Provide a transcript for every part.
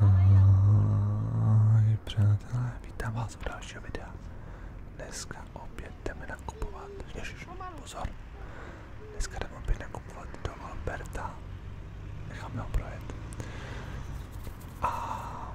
Ahoj přátelé, vítám vás u dalšího videa. Dneska opět jdeme nakupovat. Ježiš, pozor. Dneska jdeme opět nakupovat do Alberta. Necháme ho projet. A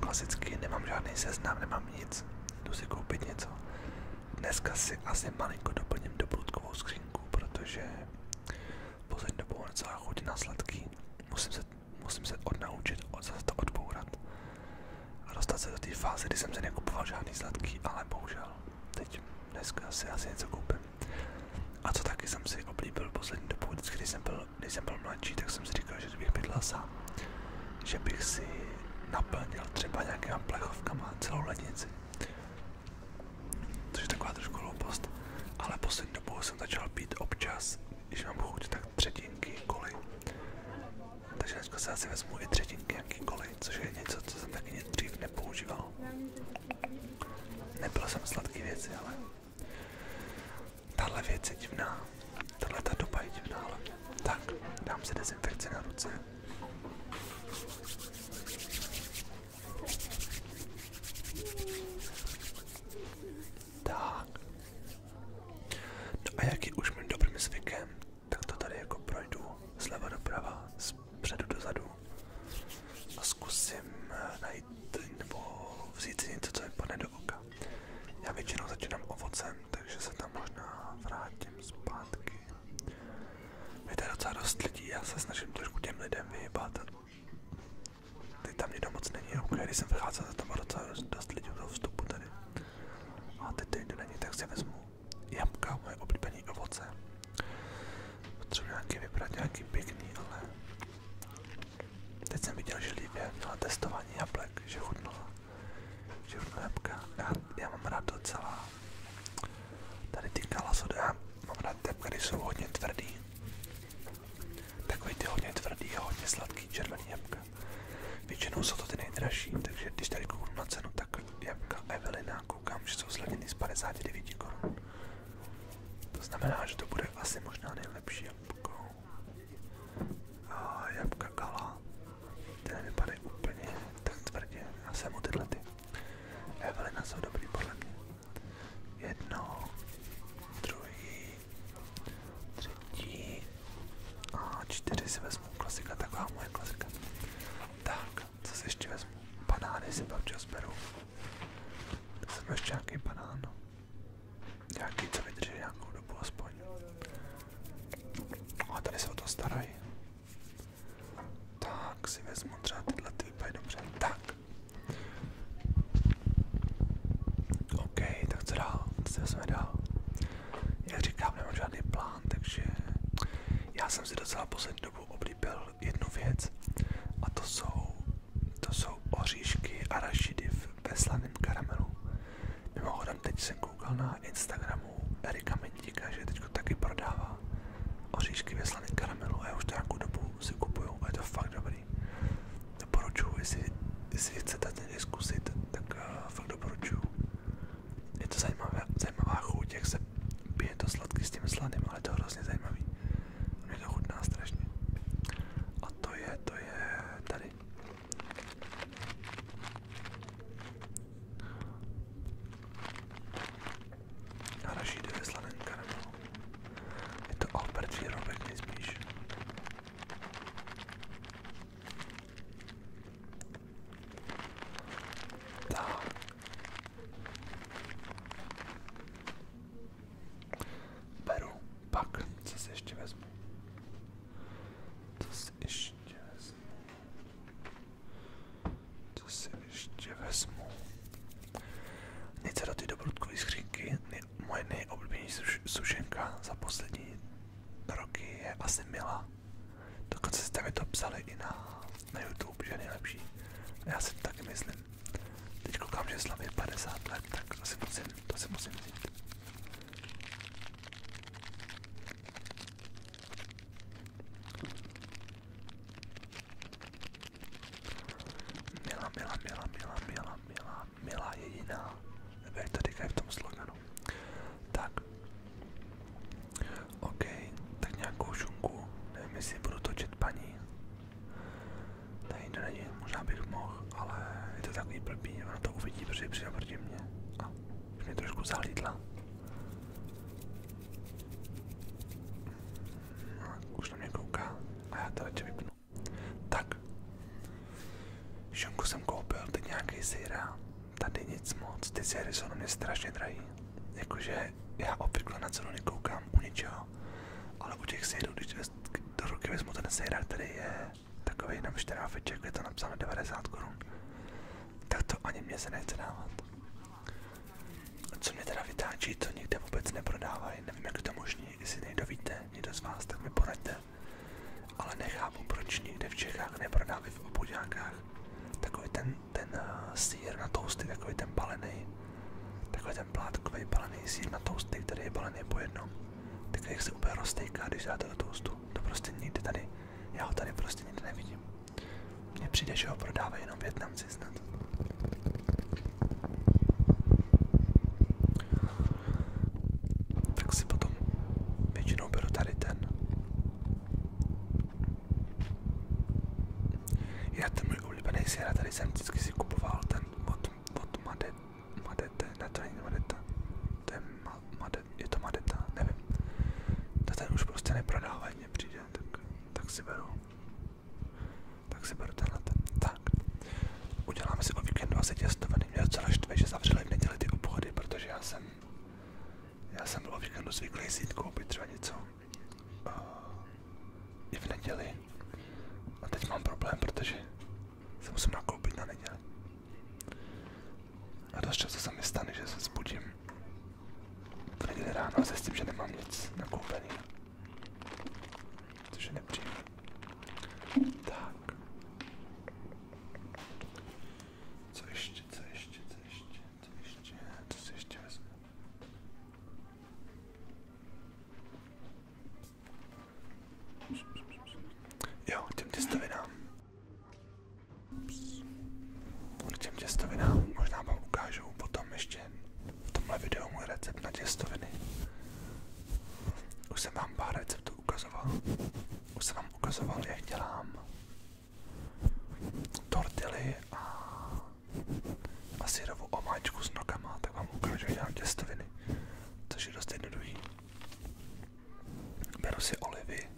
klasicky nemám žádný seznam, nemám nic. Jdu si koupit něco. Dneska si asi malinko doplním doplutkovou skřínku, protože Poslední dobou mám docela na sladký. Musím se, musím se odnaučit, od, zase to A dostat se do té fáze, kdy jsem se nekupoval žádný sladký, ale bohužel. Teď dneska si asi něco koupím. A co taky jsem si oblíbil poslední dobou, vždycky, jsem, byl, když jsem byl mladší, tak jsem si říkal, že bych bydlel sám. Že bych si naplnil třeba nějakýma plechovkama celou lednici. Což je taková trošku hloupost, ale poslední dobou jsem začal pít občas, když mám chuť, tak třetinky koly. Takže dneska se asi vezmu i třetinky nějaký koly, což je něco, co jsem taky dřív nepoužíval. Nebyl jsem sladký věci, ale tahle věc je divná. Tahle ta doba je divná, ale tak, dám si dezinfekci na ruce. Tak. No a jak už mým dobrým zvykem, tak to tady jako projdu zleva doprava, zpředu dozadu a zkusím eh, najít nebo vzít něco, co mi padne do oka. Já většinou začínám ovocem, takže se tam možná vrátím zpátky. Je to dost lidí, já se snažím trošku těm lidem vyhýbat, Teď tam nikdo moc není, když jsem vycházel, tam bylo docela dost lidí do vstupu tady. A teď to nikdo není, tak si vezmu jablka, moje oblíbené ovoce. Potřebuji nějaký vybrat, nějaký pěkný, ale... Teď jsem viděl, že Lívě měla testování jablek, že chutnala. Že chutnala jablka. Já, mám rád docela tady ty kalasody, Mám rád tepkary jsou hodně tvrdý. Takový ty hodně tvrdý sladký červený jabka. Většinou jsou to ty nejdražší, takže když tady kouknu na cenu, tak jabka Evelina koukám, že jsou zlevněny z 59 korun. To znamená, že to bude asi možná nejlepší jabko. A Gala, ty nevypadají úplně tak tvrdě. Já mu tyhle Evelina jsou dobrý podle mě. Jedno, druhý, třetí a čtyři si vezmu. Klasika, taková moje klasika. Tak, co si ještě vezmu? Banány si pak čas beru. Jsem ještě nějaký banán. No. Nějaký, co vydrží nějakou dobu aspoň. A tady se o to starají. Tak si vezmu třeba tyhle, ty vypadají dobře. Tak. OK, tak co Co vezmeme dál? Jak říkám, nemám žádný plán, takže jsem si docela poslední dobu oblíbil jednu věc a to jsou, to jsou oříšky a rašidy ve slaném karamelu. Mimochodem teď jsem koukal na Instagramu Erika Mendíka, že teď taky prodává oříšky ve slaném karamelu a já už to nějakou dobu si kupuju a je to fakt dobrý. Doporučuju, jestli, jestli chcete někdy zkusit, tak uh, fakt doporučuju. Je to zajímavé, zajímavá chuť, jak se pije to sladký s tím sladným, ale je to hrozně zajímavý. Mě to chutná strašně. A to je, to je tady. Na Rašídu je slanenka nebo? No. Je to Albert Výrobek nejspíš. Tak. Beru, pak, co si ještě vezmu? Co si ještě vezmu? Co si ještě vezmu? Nic do ty dobrutkové skřínky. Moje nejoblíbenější sušenka za poslední roky je asi Mila. Dokonce jste mi to psali i na, na YouTube, že je nejlepší. Já si to taky myslím. Teď koukám, že slaví 50 let, tak to si musím, to si musím vzít. Mila, mila, mila, mila, mila, mila, mila jediná. Nebo jak to říkají v tom sloganu. Tak. OK, tak nějakou šunku. Nevím, jestli budu točit paní. Tady to není, možná bych mohl, ale je to takový blbý, ona to uvidí, protože přijde proti mě. A už mě trošku zahlídla. Už na mě kouká a já to radši vypnu. Tak. Šunku jsem koupil, teď nějaký syra. Tady nic moc, ty syry jsou na mě strašně drahý. Jakože já obvykle na cenu nekoukám u ničeho, ale u těch syrů, když do ruky vezmu ten syra, který je takový na šteráveček, je to napsáno 90 korun, tak to ani mě se nechce dávat. Co mě teda vytáčí, to nikde vůbec neprodávají, nevím jak je to možný, jestli někdo víte, někdo z vás, tak mi poraďte. Ale nechápu, proč nikde v Čechách neprodávají v obchodňákách takový ten, ten uh, sír na tousty, takový ten balený, takový ten plátkový balený sír na tousty, který je balený po jednom. Tak jak se úplně roztejká, když dáte do toastu. To prostě nikdy tady, já ho tady prostě nikdy nevidím. Mně přijde, že ho prodávají jenom Větnamci snad. Tak si potom většinou beru tady ten. Já ten můj oblíbený sěra, jsem vždycky kupoval ten od, od Madete, Madete, ne to není Madeta, to to Madeta, nevím. To ten už prostě neprodávají, mně přijde, tak si beru. Tak si beru tenhle Tak. Uděláme si o víkendu asi těstoviny. Mě docela štve, že zavřeli v neděli ty obchody, protože já jsem já jsem byl o víkendu zvyklý si koupit třeba něco eh, i v neděli. A teď mám problém, protože se musím nakoupit na neděli. A dost často se mi stane, že se zbudím v neděli ráno se s tím, že nemám nic nakoupený. Což je nepříjemné. Tak. Co ještě, co ještě, co ještě, co ještě, co si ještě vezme? Jo, těm těstovinám. K těm těstovinám možná vám ukážu potom ještě v tomhle videu můj recept na těstoviny. Už jsem vám pár receptů ukazoval. Už jsem vám ukazoval, jak dělám tortily a, a syrovou omáčku s nokama, tak vám ukážu, jak dělám těstoviny, což je dost jednoduchý. Beru si olivy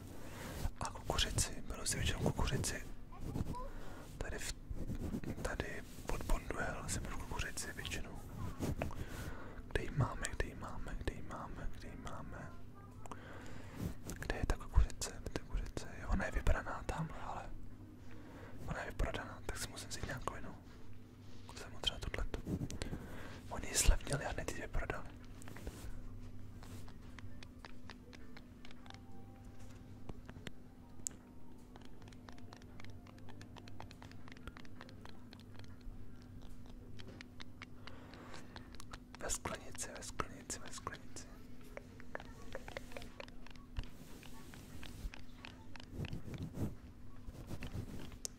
a kukuřici, beru si většinou kukuřici. Tady v tady pod Bonduel si budu kukuřici většinou. Kde ji máme, kde ji máme, kde ji máme, kde ji máme. Kde je ta kukuřice, ta kukuřice, jo, ona je vybraná tamhle, ale ona je vyprodaná, tak si musím vzít nějakou jinou. Jsem mu třeba tohleto. Oni ji slevnili a hned ji vyprodali. Ve sklenici, ve sklenici, ve sklenici.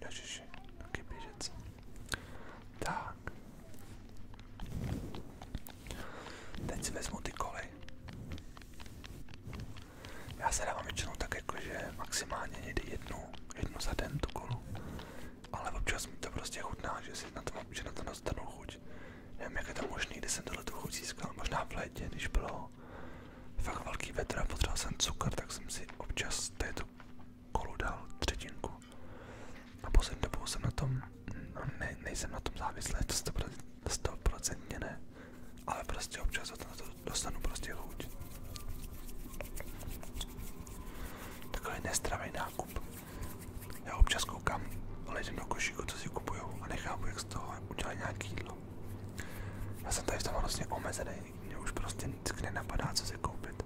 Ježiši, taky Tak. Teď si vezmu ty koly. Já se dávám většinou tak jakože maximálně někdy jednu, jednu za den tu kolu. Ale občas mi to prostě chutná, že si na tom, že na to dostanu chuť. Nevím, jak je to možný, kdy jsem tohle tu chuť získal. Možná v létě, když bylo fakt velký vetr a potřeboval jsem cukr, tak jsem si občas této kolu dal třetinku. A poslední dobou jsem na tom No, ne, nejsem na tom závislý, to 100%, 100% ne, ale prostě občas na to dostanu prostě chuť. Takový nestravý nákup. Já občas koukám lidem do košíku, co si kupují a nechápu, jak z toho udělají nějaký jídlo. Já jsem tady v tom vlastně omezený, mě už prostě nic nenapadá, co si koupit.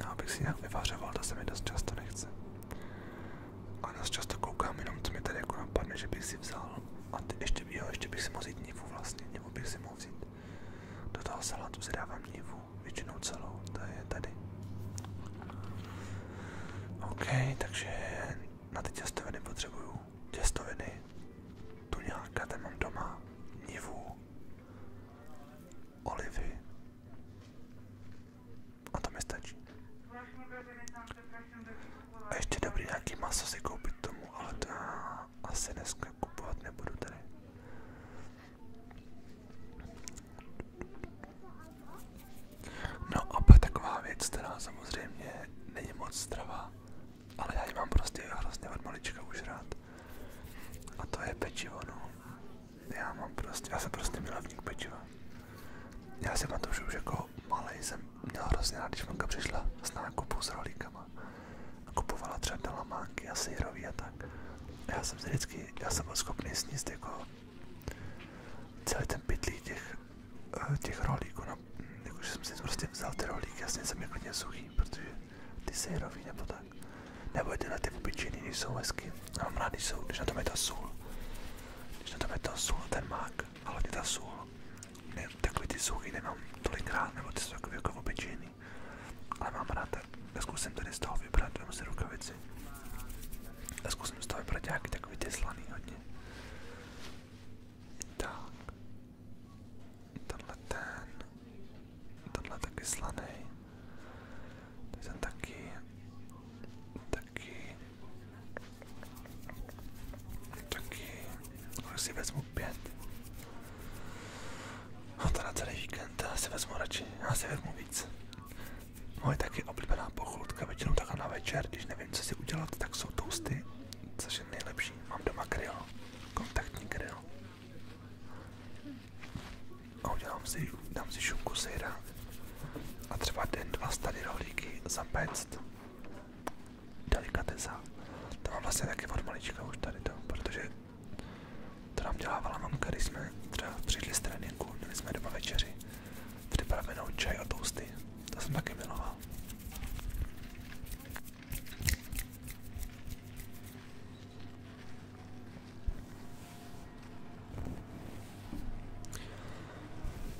No, abych si nějak vyvařoval, to se mi dost často nechce. A dost často koukám jenom, co mi tady jako napadne, že bych si vzal. A ty ještě, jo, ještě bych si mohl vzít nivu vlastně, nebo bych si mohl vzít. Do toho salátu si dávám nivu, většinou celou, to je tady. OK, takže na ty těstoviny potřebuju těstoviny, tu nějaká, ten mám doma, nivu, olivy, a to mi stačí. A ještě dobrý nějaký maso si koupit tomu, ale to já asi dneska kupovat nebudu tady. No a pak taková věc, která samozřejmě není moc strava, ale já ji mám prostě hrozně od malička už rád. A to je pečivo, no. Já mám prostě, já jsem prostě milovník pečiva. Já si pamatuju, že už jako malý jsem měl hrozně rád, když mamka přišla s nákupu s rolíkama a kupovala třeba dalamánky a syrový a tak. A já jsem si vždycky, já jsem byl schopný sníst jako celý ten pytlí těch, eh, těch rolíků, no, jakože jsem si prostě vzal ty rolíky, jasně jsem je klidně suchý, protože ty syrový nebo tak nebo tyhle ty obyčejný, když jsou hezky. Já mám rád, když, jsou, když na tom je ta sůl. Když na tom je ta sůl, ten mák, ale hlavně ta sůl. Ne, takový ty suchy nemám tolik rád, nebo ty jsou takový jako obyčejný. Ale mám rád, tak zkusím tady z toho vybrat, vemu si rukavici. A zkusím z toho vybrat nějaký takový ty slaný hodně. Tak. Tenhle ten. Tenhle taky slaný. Tak ten taky, taky, taky, už si vezmu pět. A to na celý víkend, já si vezmu radši, já si vezmu víc. Moje taky oblíbená pochoutka, většinou takhle na večer, když nevím, co si udělat, tak jsou toasty, což je nejlepší. Mám doma grill, kontaktní grill a udělám si, dám si šunku syra a třeba den, dva tady rohlíky zapéct. Delikatesa. To mám vlastně taky od malička už tady to, protože to nám dělávala mamka, když jsme třeba přišli z tréninku, měli jsme doma večeři, připravenou čaj a toasty. To jsem taky miloval.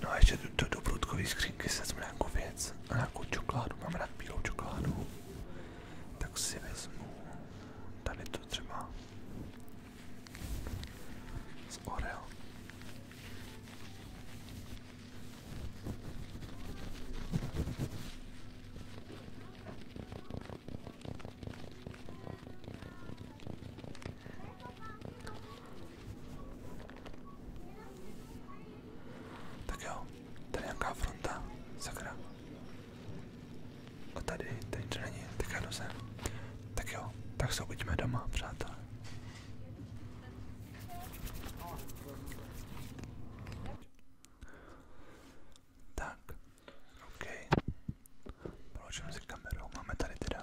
No a ještě do, do, do průdkové skřínky se vezmu nějakou věc, nějakou čokoládu, mám rád bílou čokoládu, tak si vezmu tady to třeba z Oreo. Tak jo, tady nějaká fronta, sakra. A tady, tady nic není, tak já jdu sem. Tak jo, tak se uvidíme doma, přátelé. Tak, OK. Položím si kamerou. Máme tady teda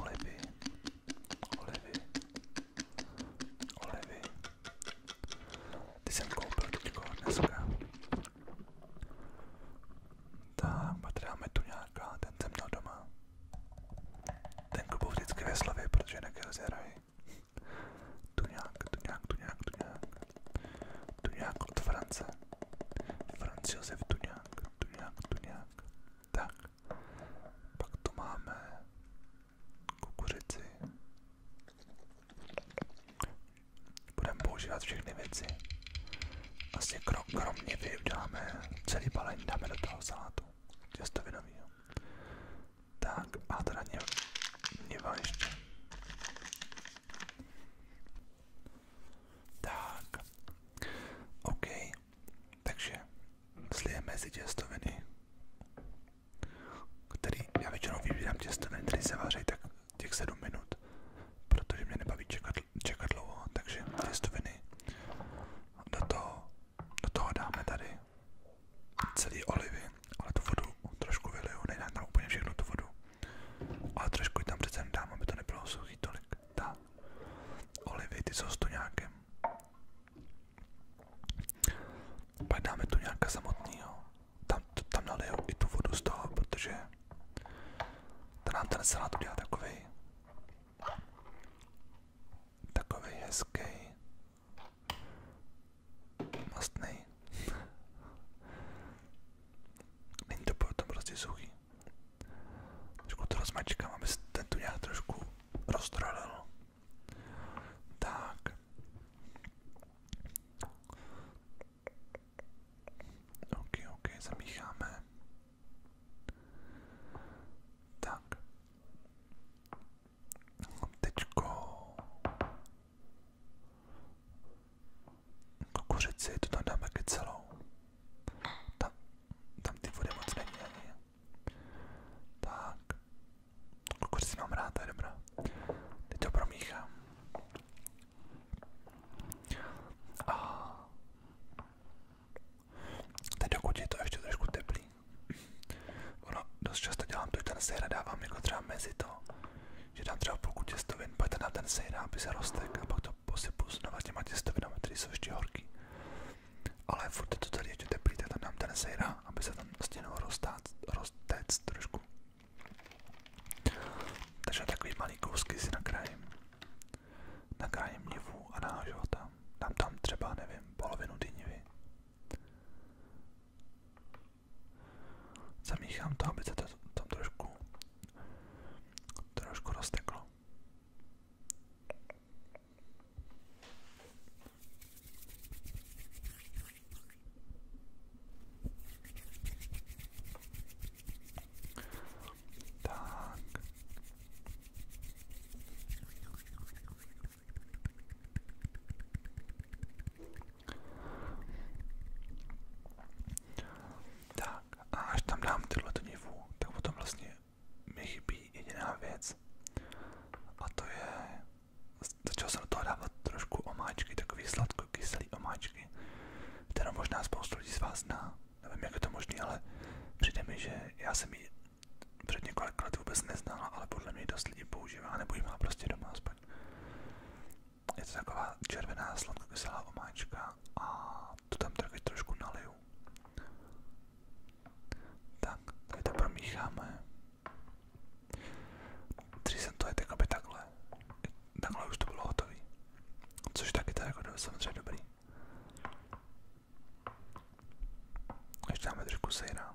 olivy, olivy, olivy. Ty jsem koupil teďko dneska. Tak, pak dáme tu nějaká, ten jsem měl doma. Ten kupu vždycky ve slavě, protože jinak je rozjerají. Tu nějak, tu nějak, tu nějak, tu nějak. Tuňák od France. Franz Josef Tuňák, Tuňák, Tuňák. Tak, pak tu máme kukuřici. Budeme používat všechny věci. Vlastně krom, kromě vy uděláme celý balení, dáme do toho salátu. Těstovinovýho. Tak, a teda něva ještě. Tak, OK, takže slijeme si těstoviny, který já většinou vybírám těstoviny, které se vaří tak těch 7 minut, protože mě nebaví čekat, čekat dlouho, takže těstoviny do toho, do toho dáme tady celý olivy, ale tu vodu trošku vyliju, nedám tam úplně všechno tu vodu. Ale trošku tam přece dám, aby to nebylo suchý tolik. Tak. Olivy, ty jsou s tuňákem. Pak dáme tuňáka samotného. Tam, tam naliju i tu vodu z toho, protože ta nám ten salát udělá takový takový hezký mastný Není to potom prostě suchý. Trošku to rozmačkám, aby se ten tu nějak trošku roztrolil. Tak. Ok, ok, zamícháme. Tak. Teďko Kukuřici to tam dáme taky celou. Tam, tam ty vody moc není ani. Tak. Kukuřici mám rád, to je dobrá. Teď to promíchám. A teď dokud je to ještě trošku teplý. Ono dost často dělám to, že ten sejra dávám jako třeba mezi to, že tam třeba půlku těstovin, pak na ten sejná, aby se roztek a pak to posypu znova těma těstovinami, které jsou ještě horký. Ale furt je to tady ještě teplý, tak tam dám ten sejrá, aby se tam stěnou prostě roztéct trošku. Takže takový malý kousky si nakrájím. Nakrájím nivu a nahážu tam. Dám tam třeba, nevím, polovinu té nivy. Zamieściłam to, aby to, to, to troszkę, troszkę roztegło. Tak. Tak a až tam dám tyhle nivu, tak potom vlastně mi chybí jediná věc a to je, začal jsem do toho dávat trošku omáčky, takový sladko-kyselý omáčky, kterou možná spoustu lidí z vás zná, nevím jak je to možné, ale přijde mi, že já jsem ji před několik let vůbec neznala, ale podle mě dost lidí používá, nebo ji má prostě doma aspoň je to taková červená slonka sladkokyselá omáčka a to tam taky trošku naliju. Tak, tady to promícháme. Tři jsem to je jakoby takhle. Takhle už to bylo hotový. Což taky to je jako samozřejmě dobrý. Ještě dáme trošku sejra.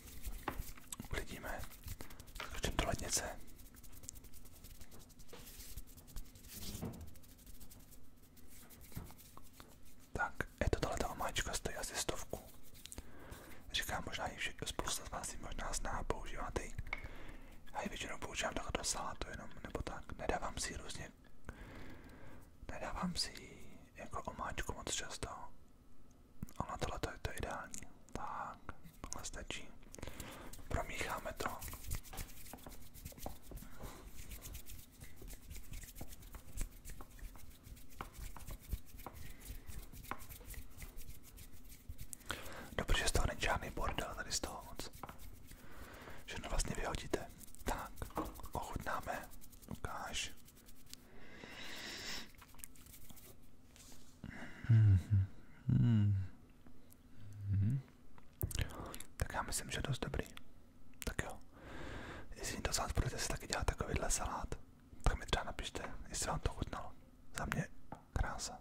Uvidíme. Skočím do lednice. Tak, je to tahle omáčka, stojí asi stovku. Říkám, možná ji všechno spousta z vás ji možná zná, používáte ji. Já ji většinou používám takhle do salátu jenom, nebo tak. Nedávám si ji různě. Nedávám si ji jako omáčku moc často. A na to je to ideální. Tak, stačí. Promícháme to. Dobře, že z toho bordel tady z toho moc. Všechno vlastně Tak, ochutnáme. Ukáž. Tak já myslím, že je dost dobrý. Tak jo. Jestli to vás budete si taky dělat takovýhle salát, tak mi třeba napište, jestli vám to chutnalo. Za mě krása.